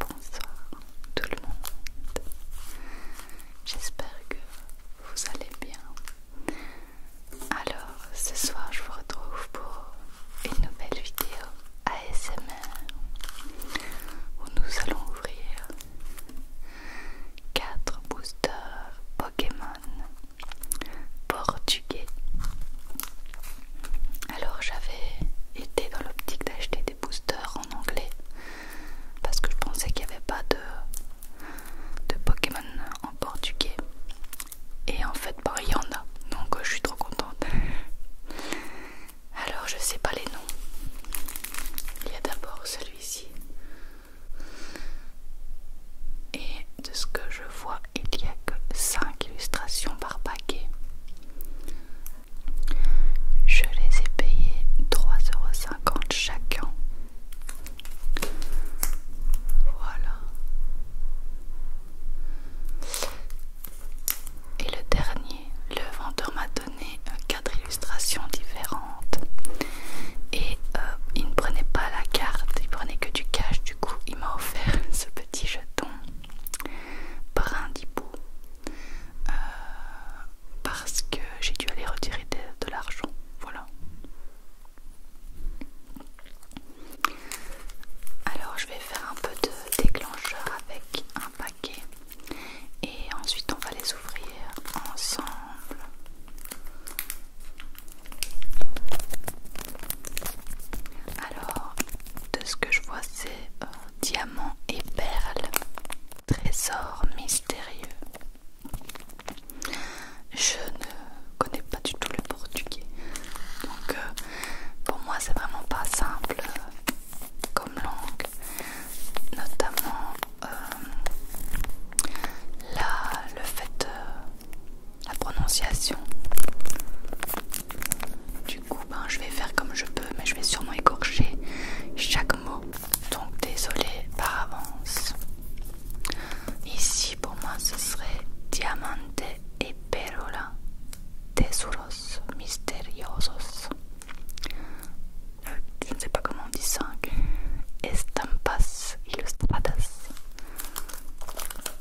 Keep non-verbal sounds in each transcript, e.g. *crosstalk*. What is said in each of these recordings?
Bonsoir tout le monde. J'espère que vous allez bien. Alors, ce soir, je vous retrouve pour une nouvelle vidéo ASMR où nous allons ouvrir 4 boosters Pokémon portugais. Alors j'avais été dans l'optique d'acheter des boosters en anglais parce que je pensais qu'il n'y avait pas de, Pokémon en portugais. Et en fait, bah, il y en a. Donc euh, je suis trop contente. *laughs* Alors je sais pas les noms. Il y a d'abord celui-ci. Et de ce que je vois il n'y a que 5 illustrations par paquet. Je les ai payées 3,50€ chacun. Voilà. Et le dernier, le vendeur m'a donné 4 euh, illustrations différentes. Et euh, il ne prenait pas la carte, il prenait que du cash, du coup il m'a offert *laughs* ce petit jeton brindibou euh, parce que j'ai dû aller retirer de l'argent. Voilà. Alors je vais faire un peu de déclencheur avec un paquet et ensuite on va les ouvrir ensemble. Alors de ce que je vois, c'est diamant diamants et perles, Trésor mystérieux. Je ne connais pas du tout le portugais, donc euh, pour moi c'est vraiment pas simple euh, comme langue, notamment euh, Là, le fait la prononciation. Du coup, ben, je vais faire comme je peux, mais je vais sûrement écorcher chaque mot. Donc, désolé par avance. Ici, pour moi, ce serait diamante et perola, tesuros misteriosos. Euh, je ne sais pas comment on dit ça. Estampas ilustradas.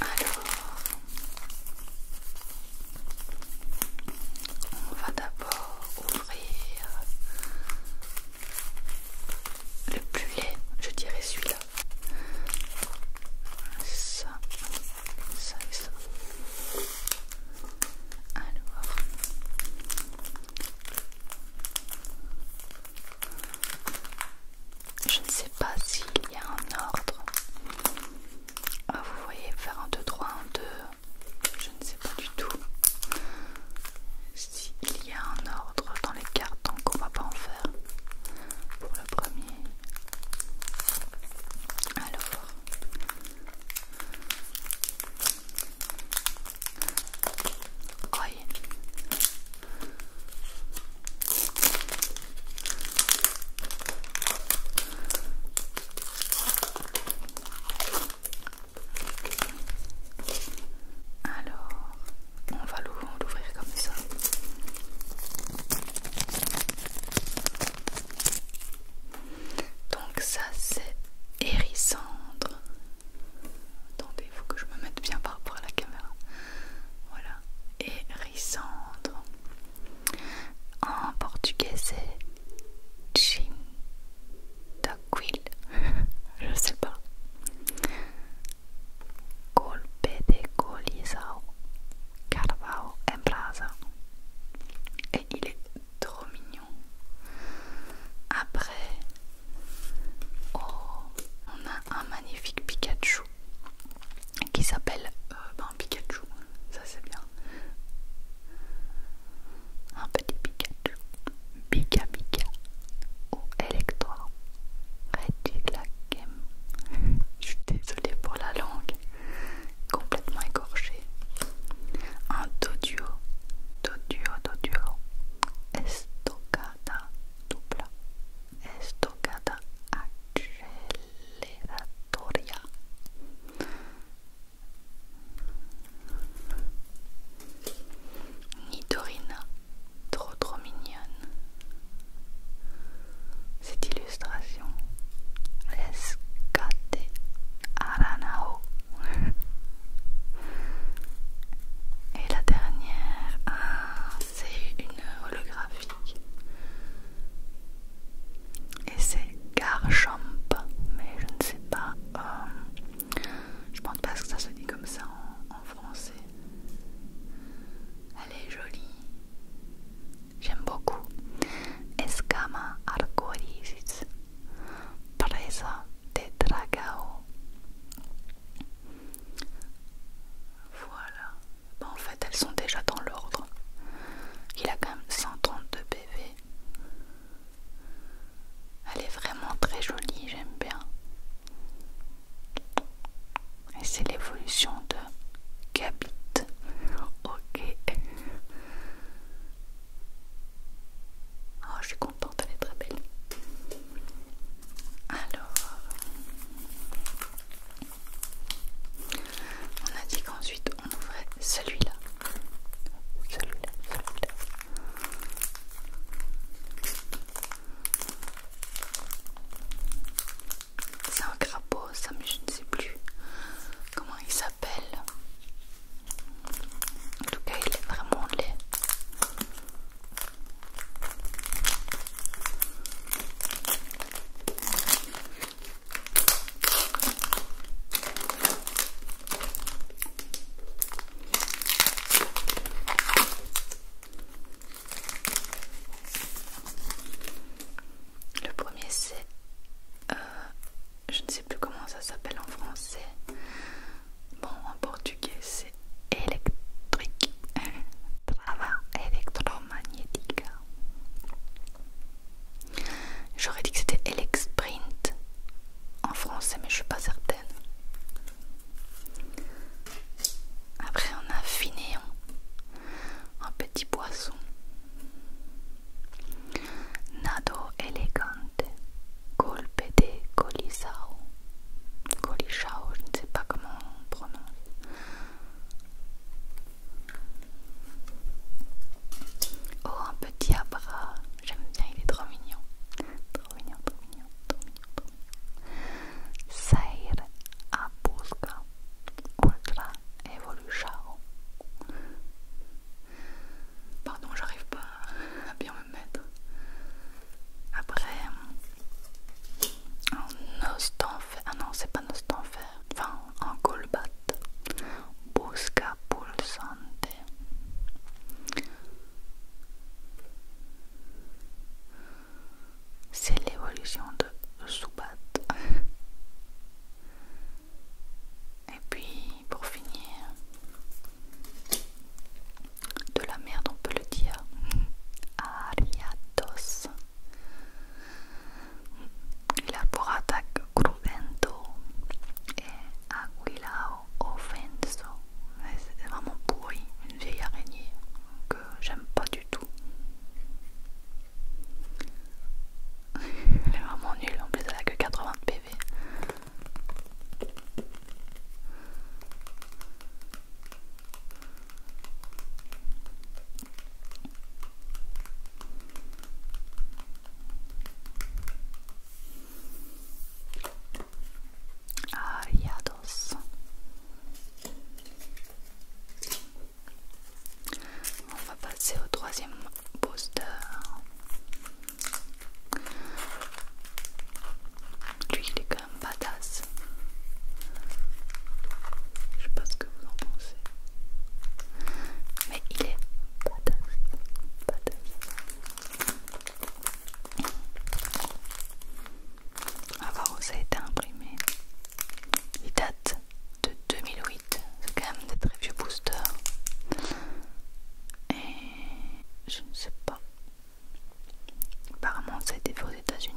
Alors, on va d'abord ouvrir le plus je dirais celui-là. Ça, ça ça. Je ne sais pas s'il y a un ordre. Ah, vous voyez, faire un 2, 3, 1, 2. Je ne sais pas du tout s'il y a un ordre dans les cartes, donc on va pas en faire pour le premier. Alors, alors, on va l'ouvrir comme ça. Donc ça c'est Hérissandre il faut que je me mette bien par rapport à la caméra. Voilà. Et Rissandre. En portugais, c'est Chin d'Aquil. *laughs* je sais pas. Golpe de colisao. Carvao Et il est trop mignon. Après, Oh, on a un magnifique Pikachu qui s'appelle euh, ben Pikachu, ça c'est bien. Un petit Pikachu, Pika Pika ou oh, Electro. Reddit la game. *laughs* Je suis désolée pour la langue, complètement écorchée. Un Toduo toduo Duo. Estocada, Dupla estocada acceleratoria Nidorina, trop trop mignonne Cette illustration Rescate Aranao Et la dernière c'est une holographique. Et c'est Garchamp, mais je ne sais pas, euh, je pense pas que ça se dit comme ça en, français. Elle est jolie, j'aime beaucoup. Escama arcoiris, presa de dragao. Voilà. en fait, elles sont déjà dans l'ordre. Il a quand même 132 PV. Elle est vraiment très jolie, j'aime bien. Et c'est l'évolution de Gabit. Ok. Oh, je suis contente, elle est très belle. Alors, on a dit qu'ensuite on ouvrait celui-là. Celui-là, C'est un crapaud, ça, mais je ne sais plus comment il s'appelle. En tout cas, il est vraiment laid. Le premier c'est, euh, je ne sais plus comment ça s'appelle en français, Bon, en portugais, c'est électrique. *laughs* Trava électromagnétique. J'aurais dit que c'était Elexprint en français, mais je suis pas certaine. Après, on a Finéon, un petit poisson. Nado Elegant Niente. de Colisao. Colisao, je ne sais pas comment on prononce. Oh, un petit abra. J'aime bien, il est trop mignon. Trop mignon, trop mignon, trop mignon, trop mignon. Sair a busca ultra Pardon, j'arrive pas à bien me mettre. Après, en Ostanfer... ah non, c'est pas nostanfer. enfin en colbat, busca pulsante. C'est l'évolution de Zubat. Et puis pour finir, de la merde on peut le dire Ariatos il a pour attaque Cruvento et Aguilao Offenso c'est vraiment pourri, une vieille araignée que j'aime pas du tout *laughs* elle est vraiment nulle, en plus elle a que 80 PV on va passer au troisième poster lui, il est quand même badass. Je sais pas ce que vous en pensez. Mais il est badass. Badass. voir où ça a été imprimé. Il date de 2008. C'est quand même des très vieux boosters. Et je ne sais pas Apparemment, ça a été fait aux États-Unis.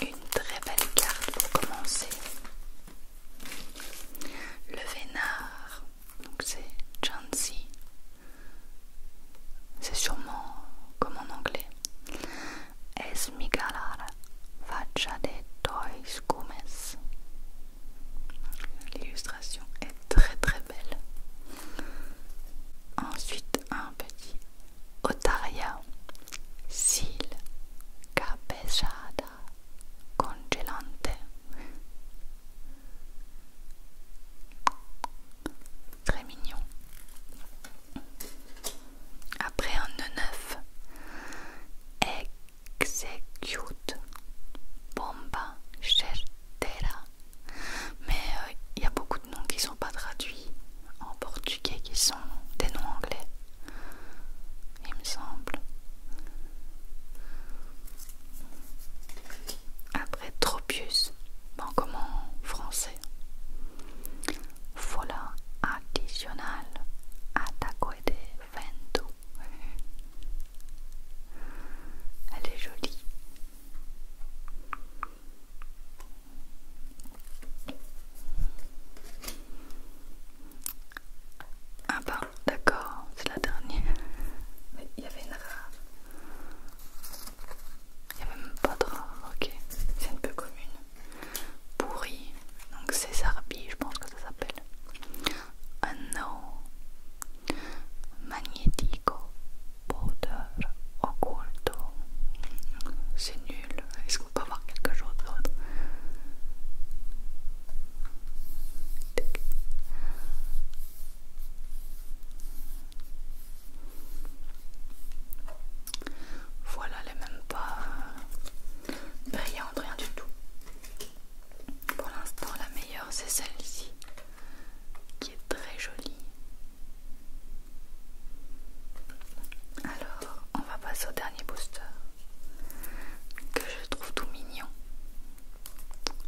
Une très belle carte pour commencer. Le Vénard, donc c'est Chansi. C'est sûrement comme en anglais. Es migalar faccia de L'illustration est très très belle. Ensuite, un petit otaria Sil capesciata congelante Très mignon Après un neuf Execute Bomba Certera Mais euh, il y a beaucoup qui sont pas traduits en portugais qui sont des noms anglais, il me semble. Après Tropius, bon comme en français. à additional, de vento. Elle est jolie. Ah bah d'accord, c'est la dernière. Mais il y avait une rare. Il n'y avait même pas de rare, ok. C'est une peu commune. Pourri, donc César B, je pense que ça s'appelle. Un no. Magnético powder occulto. C'est nul. Est-ce qu'on peut avoir quelque chose d'autre Voilà, elle est même pas brillante, rien du tout. Pour l'instant, la meilleure c'est celle-ci qui est très jolie. Alors, on va passer au dernier booster que je trouve tout mignon.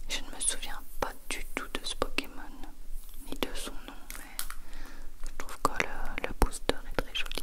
Je ne me souviens pas du tout de ce Pokémon ni de son nom, mais je trouve que le, booster est très joli.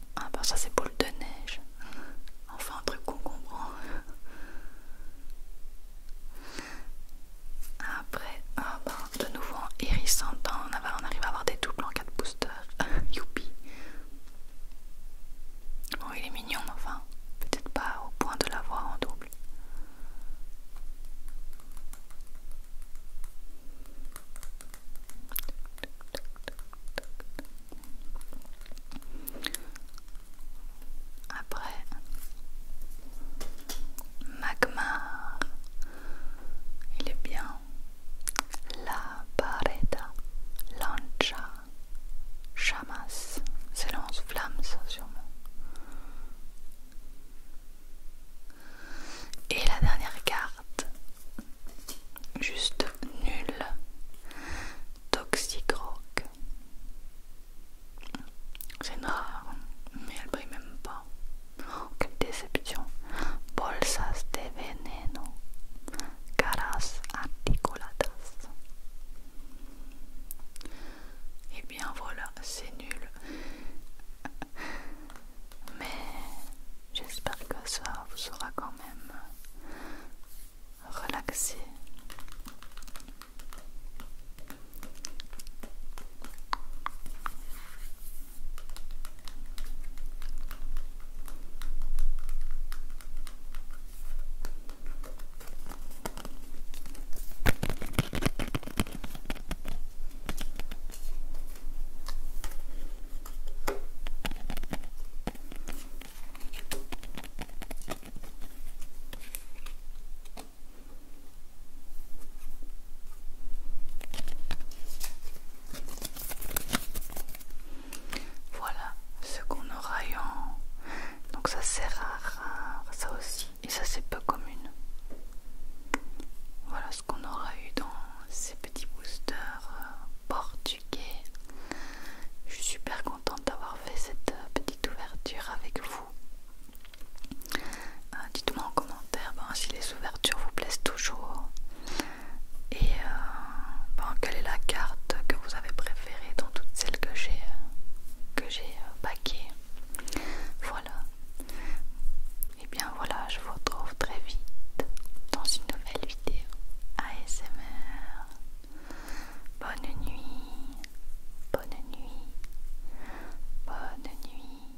Ah bah ça c'est boule de neige. Enfin un truc qu'on comprend. Après, ah, bah, de nouveau en hérissant on arrive à avoir des doubles en 4 boosters. *laughs* Youpi. Bon il est mignon enfin, peut-être pas au point de l'avoir en double. Après, Magmar, il est bien. La Pareda, Lancha, Chamas, c'est lance-flamme, ça sûrement. Et la dernière carte, juste nulle, Toxic C'est rare, mais elle brille même pas. Oh, quelle déception! Bolsas de veneno, caras articuladas. Et eh bien voilà, c'est nul mais j'espère que ça vous sera quand même relaxé. Voilà ce qu'on aura Donc ça c'est rare, rare, ça aussi, et ça c'est peu commune. Voilà, qu'on aura eu dans ces petits boosters euh, portugais. Je suis super contente d'avoir fait cette euh, petite ouverture avec vous. Euh, dites-moi en commentaire ben, si les ouvertures vous plaisent toujours et ben, quelle est la carte que vous avez préférée dans toutes celles que j'ai que j'ai paquées. Voilà. Et eh bien voilà, je vous retrouve très vite dans une nouvelle vidéo ASMR. Bonne nuit, bonne nuit, bonne nuit.